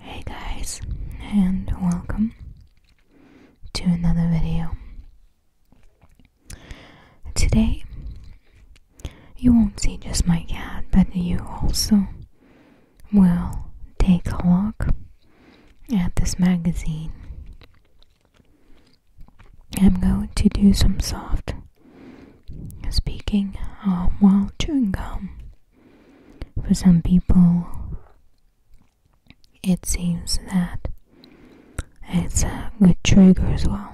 Hey guys and welcome to another video. Today you won't see just my cat but you also will take a look at this magazine. I'm going to do some soft speaking um, while chewing gum. For some people, it seems that it's a good trigger as well.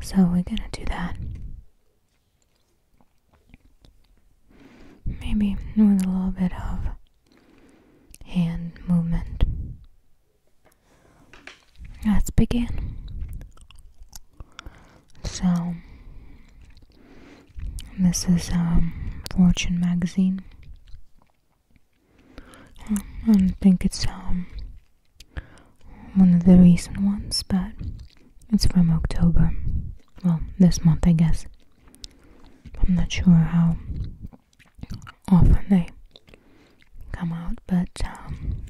So we're gonna do that. Maybe with a little bit of hand movement. Let's begin. So, this is um, Fortune magazine. Um, I think it's um, one of the recent ones, but it's from October. Well, this month, I guess. I'm not sure how often they come out, but um,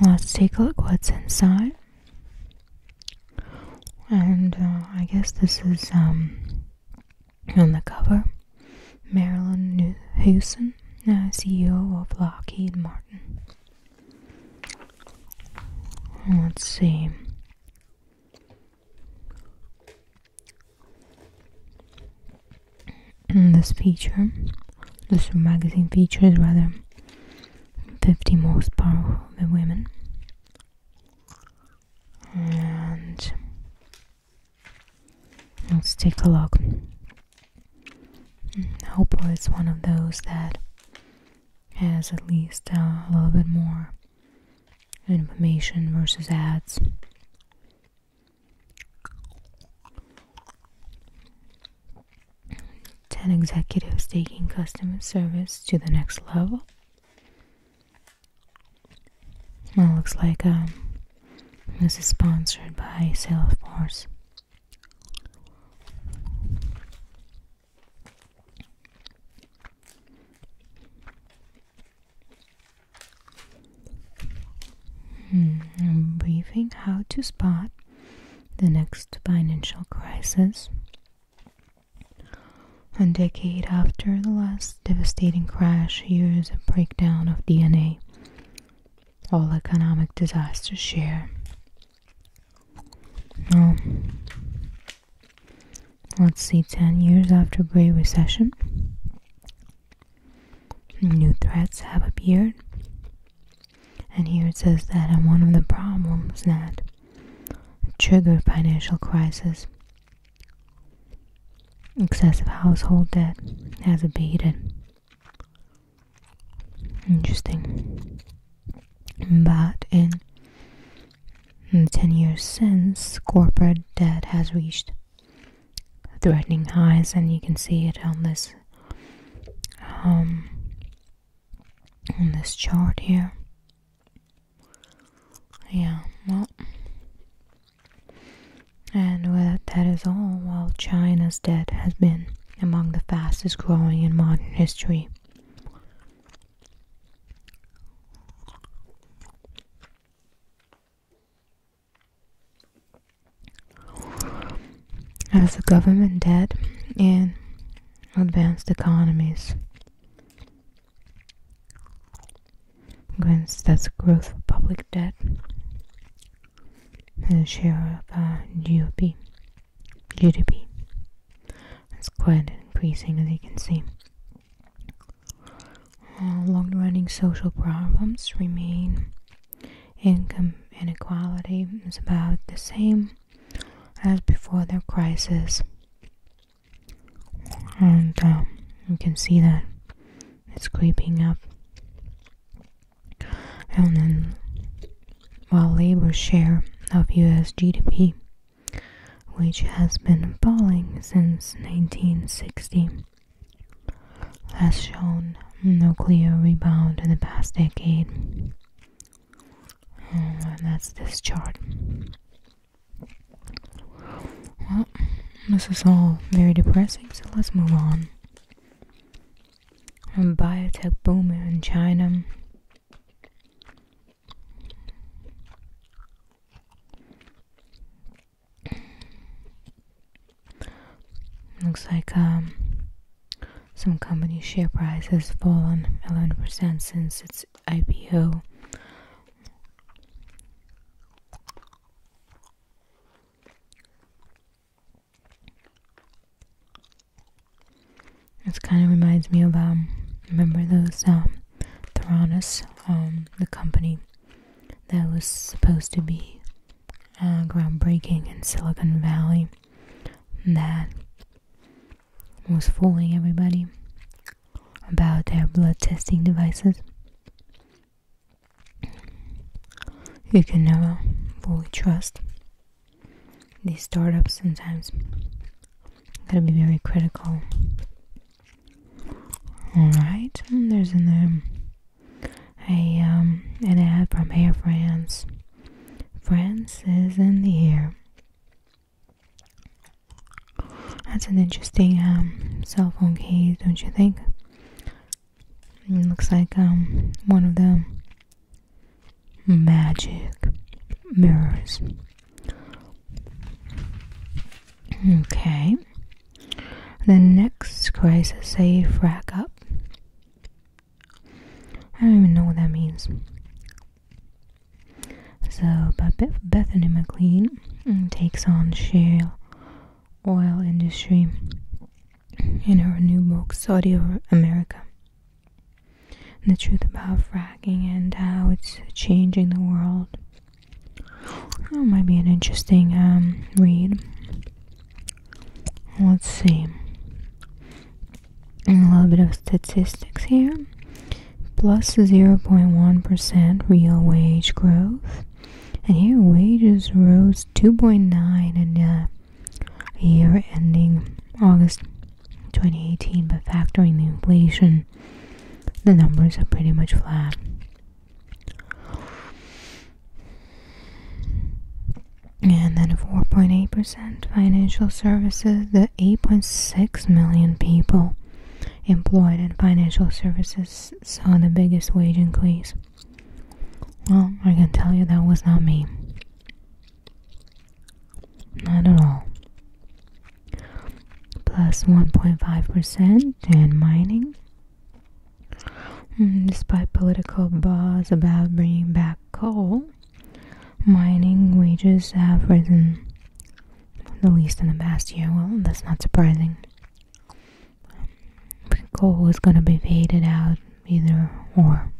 Let's take a look what's inside. And uh, I guess this is um, on the cover. Marilyn Newhousen, uh, CEO of Lockheed Martin. Let's see. Mm, this feature, this magazine feature is rather 50 most powerful women. And let's take a look. Hopefully, it's one of those that has at least uh, a little bit more information versus ads 10 executives taking customer service to the next level. Well, looks like um, this is sponsored by Salesforce. Hmm. briefing how to spot the next financial crisis. A decade after the last devastating crash, here is a breakdown of DNA. All economic disasters share. let's see 10 years after Great Recession. New threats have appeared. And here it says that one of the problems that trigger financial crisis excessive household debt has abated. Interesting. But in, in 10 years since, corporate debt has reached threatening highs and you can see it on this um on this chart here yeah well and well that is all while china's debt has been among the fastest growing in modern history as the government debt in advanced economies. That's growth of public debt and the share of uh, GDP. It's quite increasing as you can see. Uh, long-running social problems remain Income inequality is about the same as before the crisis, and um, you can see that it's creeping up. And then, while labor share of US GDP, which has been falling since 1960, has shown no clear rebound in the past decade. Hmm, and that's this chart. Well, this is all very depressing, so let's move on. A biotech boom in China. Looks like um, some company share price has fallen 11% since its IPO. This kind of reminds me of um, remember those um, Theranos, the company that was supposed to be uh, groundbreaking in Silicon Valley that was fooling everybody about their blood testing devices. You can never fully trust these startups sometimes. Gotta be very critical. Alright, there's another I um an ad from Air France. France is in the air. That's an interesting um, cell phone case, don't you think? It looks like um, one of the magic mirrors. Okay. The next crisis, a frack up. I don't even know what that means. So, Bethany McLean mm, takes on shale oil industry in her new book, Saudi America. The truth about fracking and how it's changing the world. That might be an interesting um, read let's see a little bit of statistics here plus 0.1% real wage growth and here wages rose 2.9 in the uh, year ending august 2018 but factoring the inflation the numbers are pretty much flat and then 4.8% financial services, the 8.6 million people employed in financial services saw the biggest wage increase. Well, I can tell you that was not me. Not at all. Plus 1.5% in mining, Mm, despite political buzz about bringing back coal, mining wages have risen, the least in the past year. Well, that's not surprising. Coal is going to be faded out either or.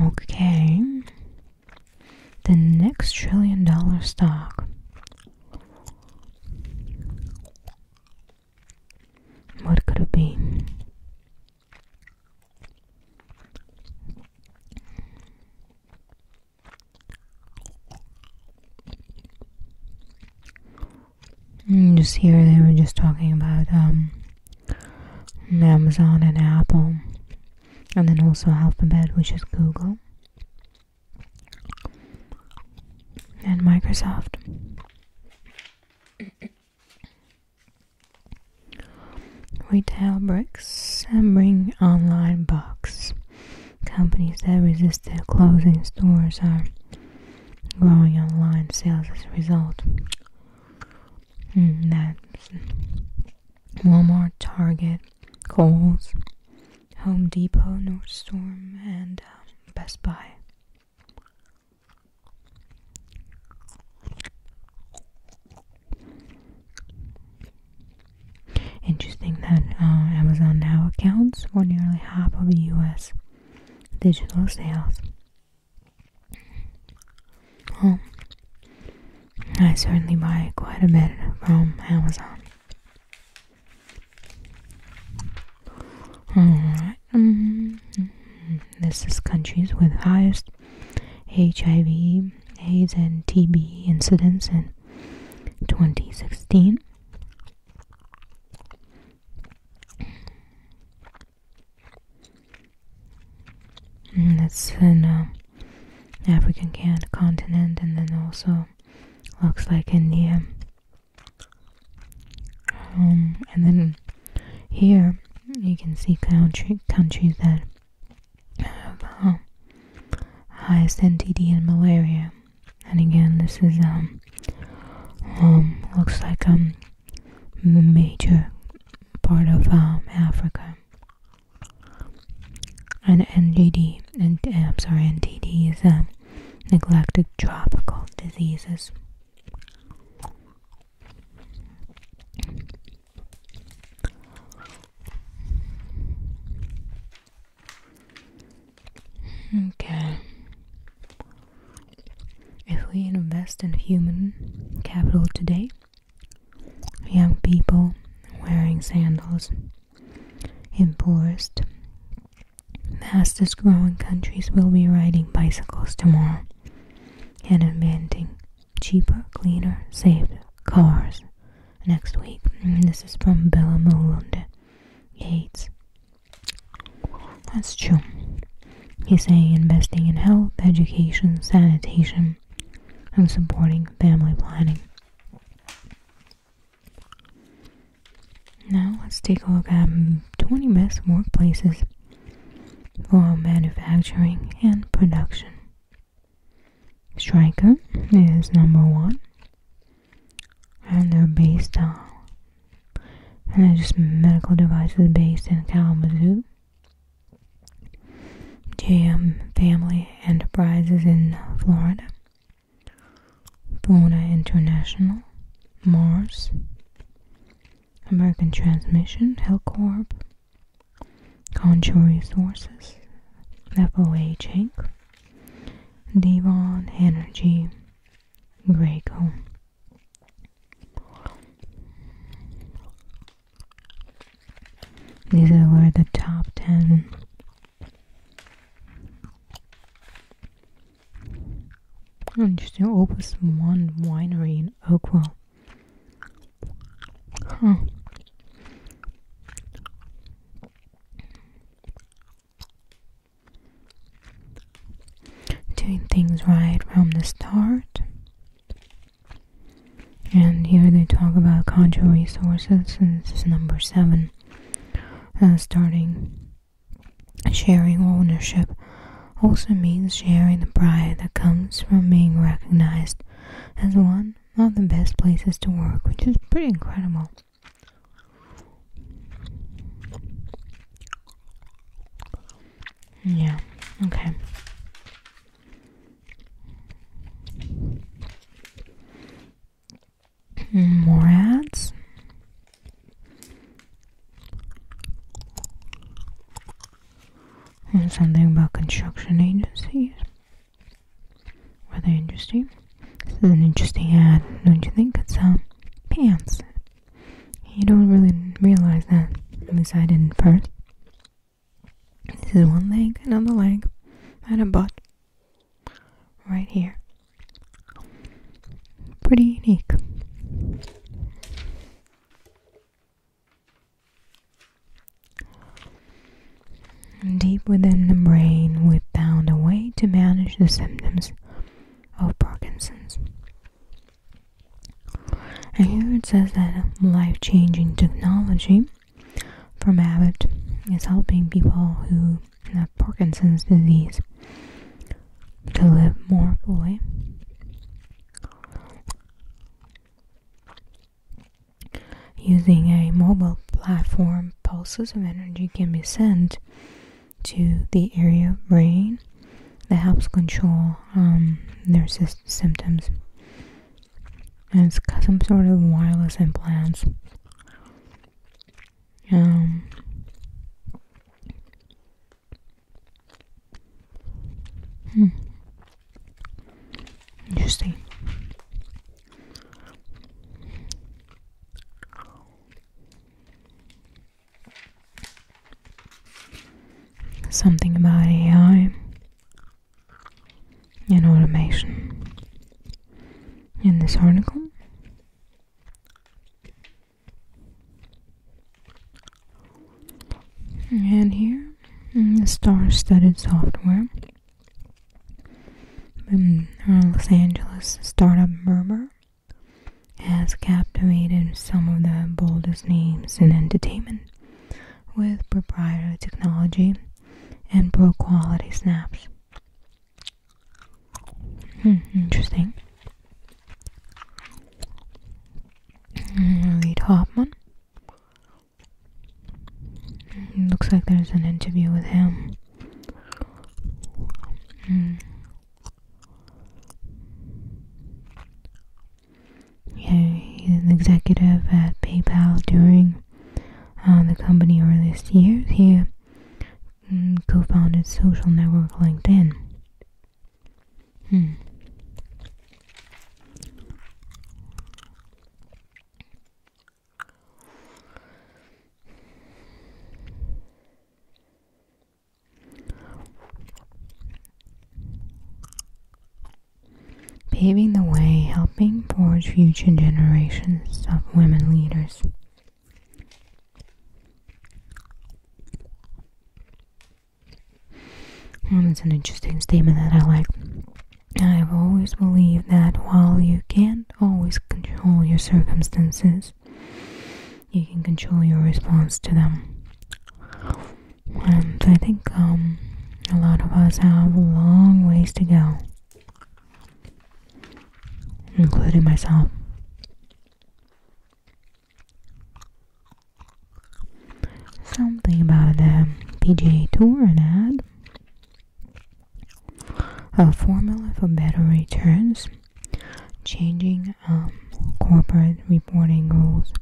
Okay, the next trillion dollar stock. What could it be? Mm, just here they were just talking about um, Amazon and Apple, and then also Alphabet, which is Google and Microsoft. Retail bricks and bring online bugs. Companies that resisted closing stores are growing online sales as a result. Mm, that's Walmart, Target, Kohl's, Home Depot, Nordstrom, and um, Best Buy. Interesting that uh, Amazon now accounts for nearly half of the U.S. digital sales. Um, I certainly buy quite a bit from Amazon. Um, this is countries with highest HIV, AIDS, and TB incidents in 2016. that's in um, African continent and then also looks like India. Um, and then here you can see countries that have uh, highest NTD and malaria. And again, this is um, um, looks like a major part of Africa and NGD and uh, I'm sorry NTD is neglected tropical diseases. Okay. If we invest in human capital today, young people wearing sandals in poorest, fastest growing countries will be riding bicycles tomorrow and inventing cheaper, cleaner, safer cars next week. Mm, this is from Bella Mulund Gates. That's true. He's saying investing in health, education, sanitation, and supporting family planning now let's take a look at 20 best workplaces for manufacturing and production. Stryker is number one, and they're based on, and they just medical devices based in Kalamazoo. JM family enterprises in Florida, Bona International, Mars, American Transmission, Helcorp, Contour Resources, FOH Inc., Devon Energy, Graco. These were the top 10. Interesting. Opus 1 Winery in Oakville. Huh. Doing things right from the start. And here they talk about Conjo resources, and this is number seven. Uh, starting sharing ownership also means sharing the pride that comes from being recognized as one of the best places to work, which is pretty incredible. Yeah, okay. More ads. And something about construction agencies. Rather interesting? This is an interesting ad, don't you think? It's um, pants. You don't really realize that. At least I didn't first. This is one leg, another leg, and a butt. Right here. Pretty unique. deep within the brain, we found a way to manage the symptoms of Parkinson's. And here it says that life changing technology from Abbott is helping people who have Parkinson's disease to live more fully. Using a mobile platform, pulses of energy can be sent to the area of brain that helps control um, their symptoms and it's got some sort of wireless implants. Um, hmm. Interesting. Something about AI and automation in this article. And here, the star-studded software. Los Angeles startup Murmur, has captivated some of the boldest names in entertainment with proprietary technology and pro quality snaps. Hmm, interesting. Hmm, Reed Hoffman. Hmm, looks like there's an interview with him. Yeah, he's an executive at PayPal during uh, the company earlier this year. He mm, co-founded social network LinkedIn. Hmm paving the way, helping forge future generations of women leaders. And it's an interesting statement that I like. I've always believed that while you can't always control your circumstances, you can control your response to them. And I think um, a lot of us have long ways to go, including myself. Something about the PGA Tour and ad. A formula for better returns, changing um, corporate reporting rules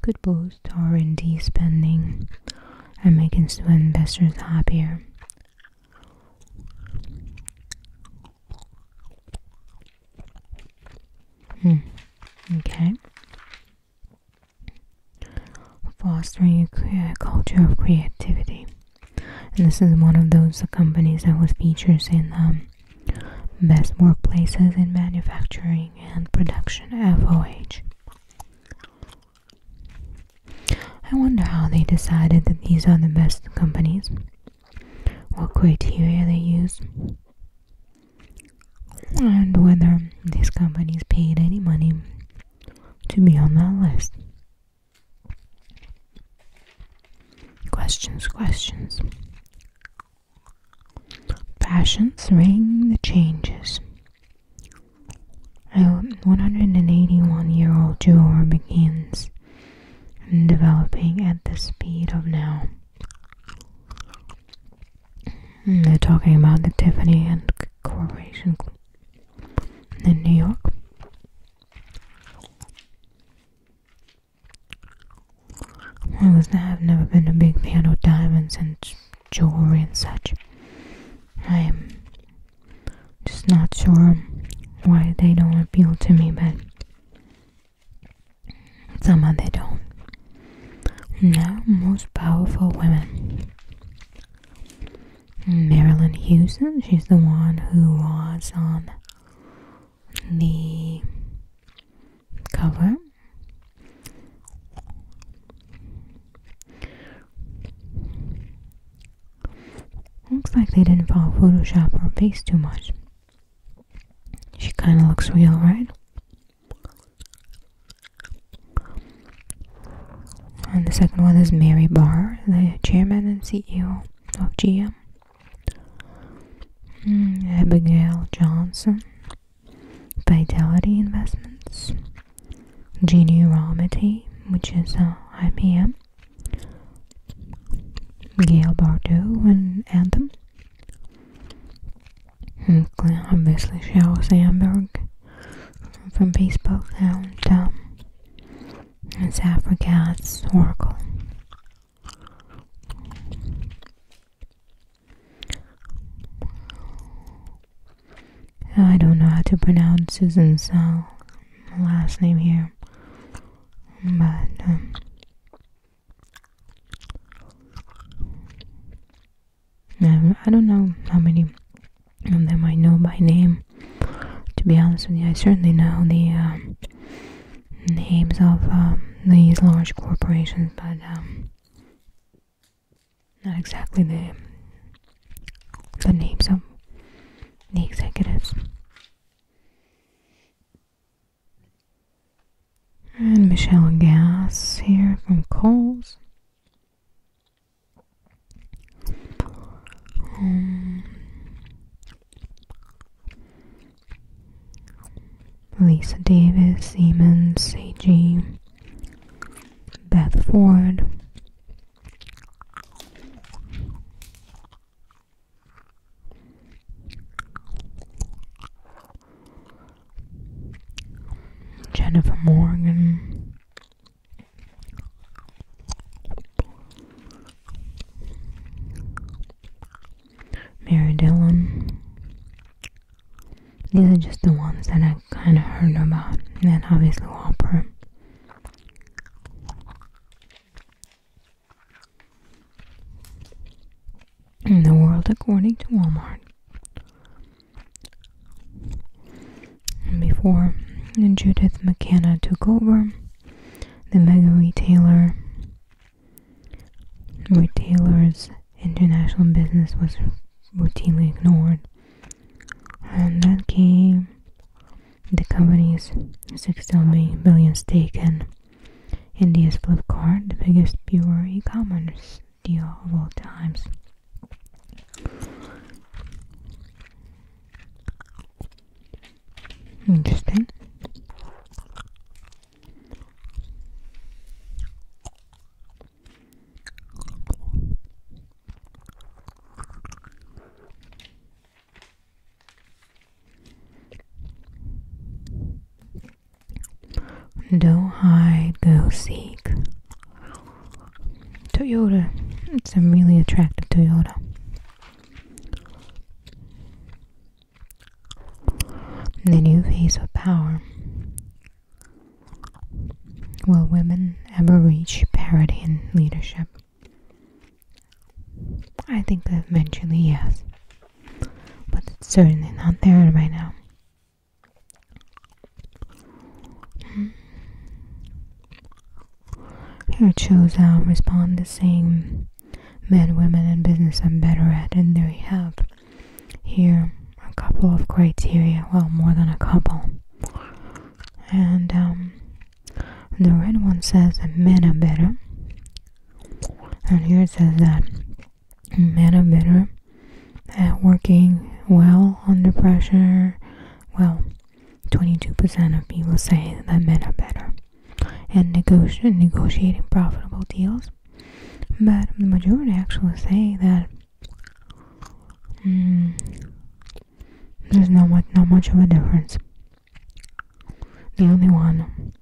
could boost boost R&D spending and making investors happier. Hmm. Okay. Fostering a culture of creativity. And this is one of those companies that was featured in um, Best Workplaces in Manufacturing and Production, FOH. I wonder how they decided that these are the best companies. What criteria they use. And whether these companies paid any money to be on that list. Questions, questions. Passions ring the changes. A 181 year old juror begins developing at the speed of now. They're talking about the Tiffany and Corporation in New York. I was have never been a big fan of diamonds and jewelry and such. I'm just not sure why they don't appeal to me, but somehow they don't. Now, most powerful women. Marilyn Houston, she's the one who was on the cover Looks like they didn't follow Photoshop or face too much. She kind of looks real, right? And the second one is Mary Barr, the chairman and CEO of GM. Hmm, Abigail Johnson, Vitality Investments, Genu Ramity, which is uh, IBM, Gail Bardot and Anthem, and obviously Sheryl Sandberg from Facebook, and um, it's Africa's Oracle. I don't know how to pronounce Susan's last name here, but um, um, I don't know how many of them I know by name. To be honest with you, I certainly know the um, names of these large corporations, but not exactly the the names of the executives. And Michelle Gas here from Coles. Um, Lisa Davis, Siemens, AG. Beth Ford. Jennifer Morgan. Mary Dillon. These are just the ones that I kind of heard about, and obviously Walmart. In the world according to Walmart. before Judith McKenna took over, the mega retailer retailers international business was routinely ignored. And that came the company's $6 billion stake in India's Flipkart, the biggest pure e commerce deal of all times. Interesting. Don't hide, go seek. Toyota. It's a really attractive Toyota. The new face of power. Will women ever reach parity in leadership? I think that eventually, yes. But it's certainly not there right now. Hmm. Here it shows how respond the same men, women, and business I'm better at, and there you have here a couple of criteria well more than a couple and um, the red one says that men are better and here it says that men are better at working well under pressure well 22% of people say that men are better at negotiating profitable deals but the majority actually say that Hmm. There's not much, not much of a difference. The only one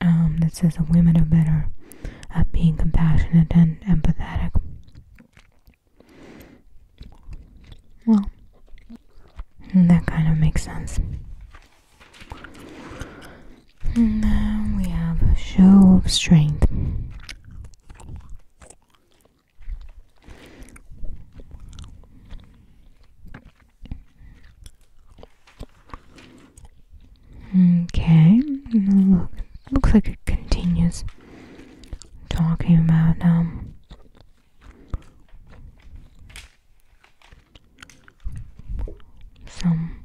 um, that says that women are better at being compassionate and empathetic. Well, that kind of makes sense. And then we have a show of strength. Okay, look, looks like it continues talking about um some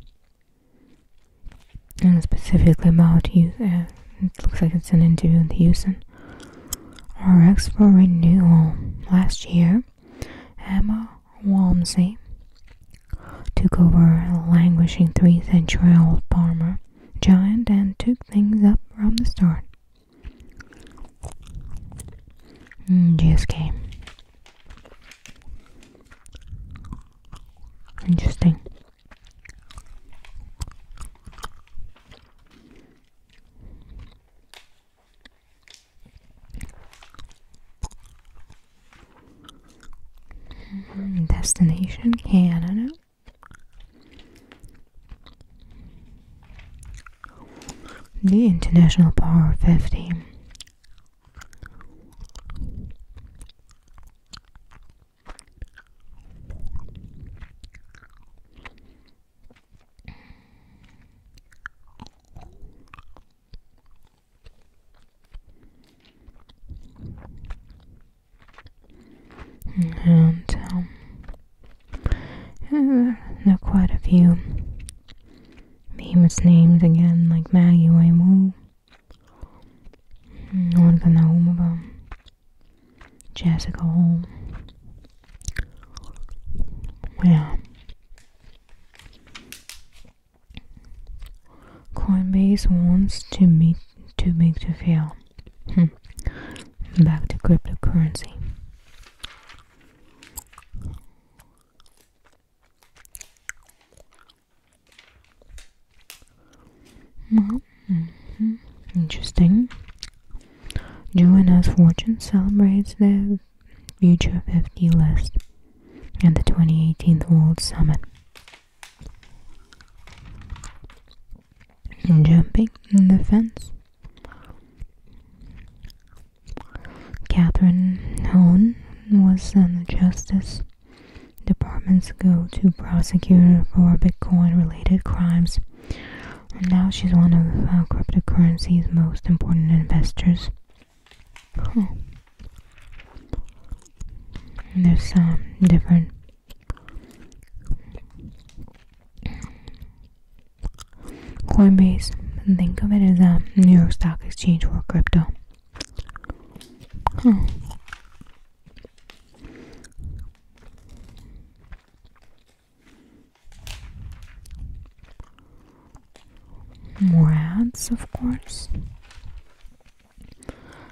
and specifically about Houston. Uh, it looks like it's an interview with Houston. RX for renewal last year. Emma Walmsley took over a languishing three-century-old farmer giant and took things up from the start. GSK. Mm, Interesting. Mm-hmm. Destination Canada. The International Power 50. And um, there are quite a few famous names again, like Maggie Waymoo, I'm going Ольга Наумова, Jessica Hall. Yeah. Coinbase wants to meet to make the fail. Hmm. Back to cryptocurrency. Mm-hmm. Mm-hmm. Interesting. Joanna's Fortune celebrates the Future 50 list and the 2018 World Summit. Jumping the fence. Catherine Hone was on the Justice Departments go to prosecutor for Bitcoin related crimes, and now she's one of uh, cryptocurrency's most important investors. there's some different Coinbase. Think of it as a New York Stock Exchange for crypto. More ads, of course.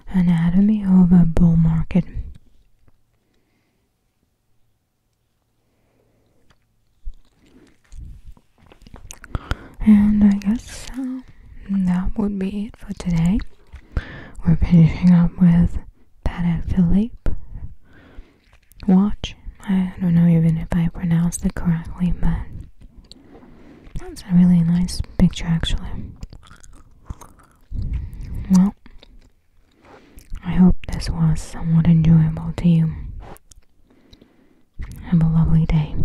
Anatomy of a bull market. And I guess uh, that would be it for today. We're finishing up with Patek Philippe watch. I don't know even if I pronounced it correctly, but that's a really nice picture actually. Well, I hope this was somewhat enjoyable to you. Have a lovely day.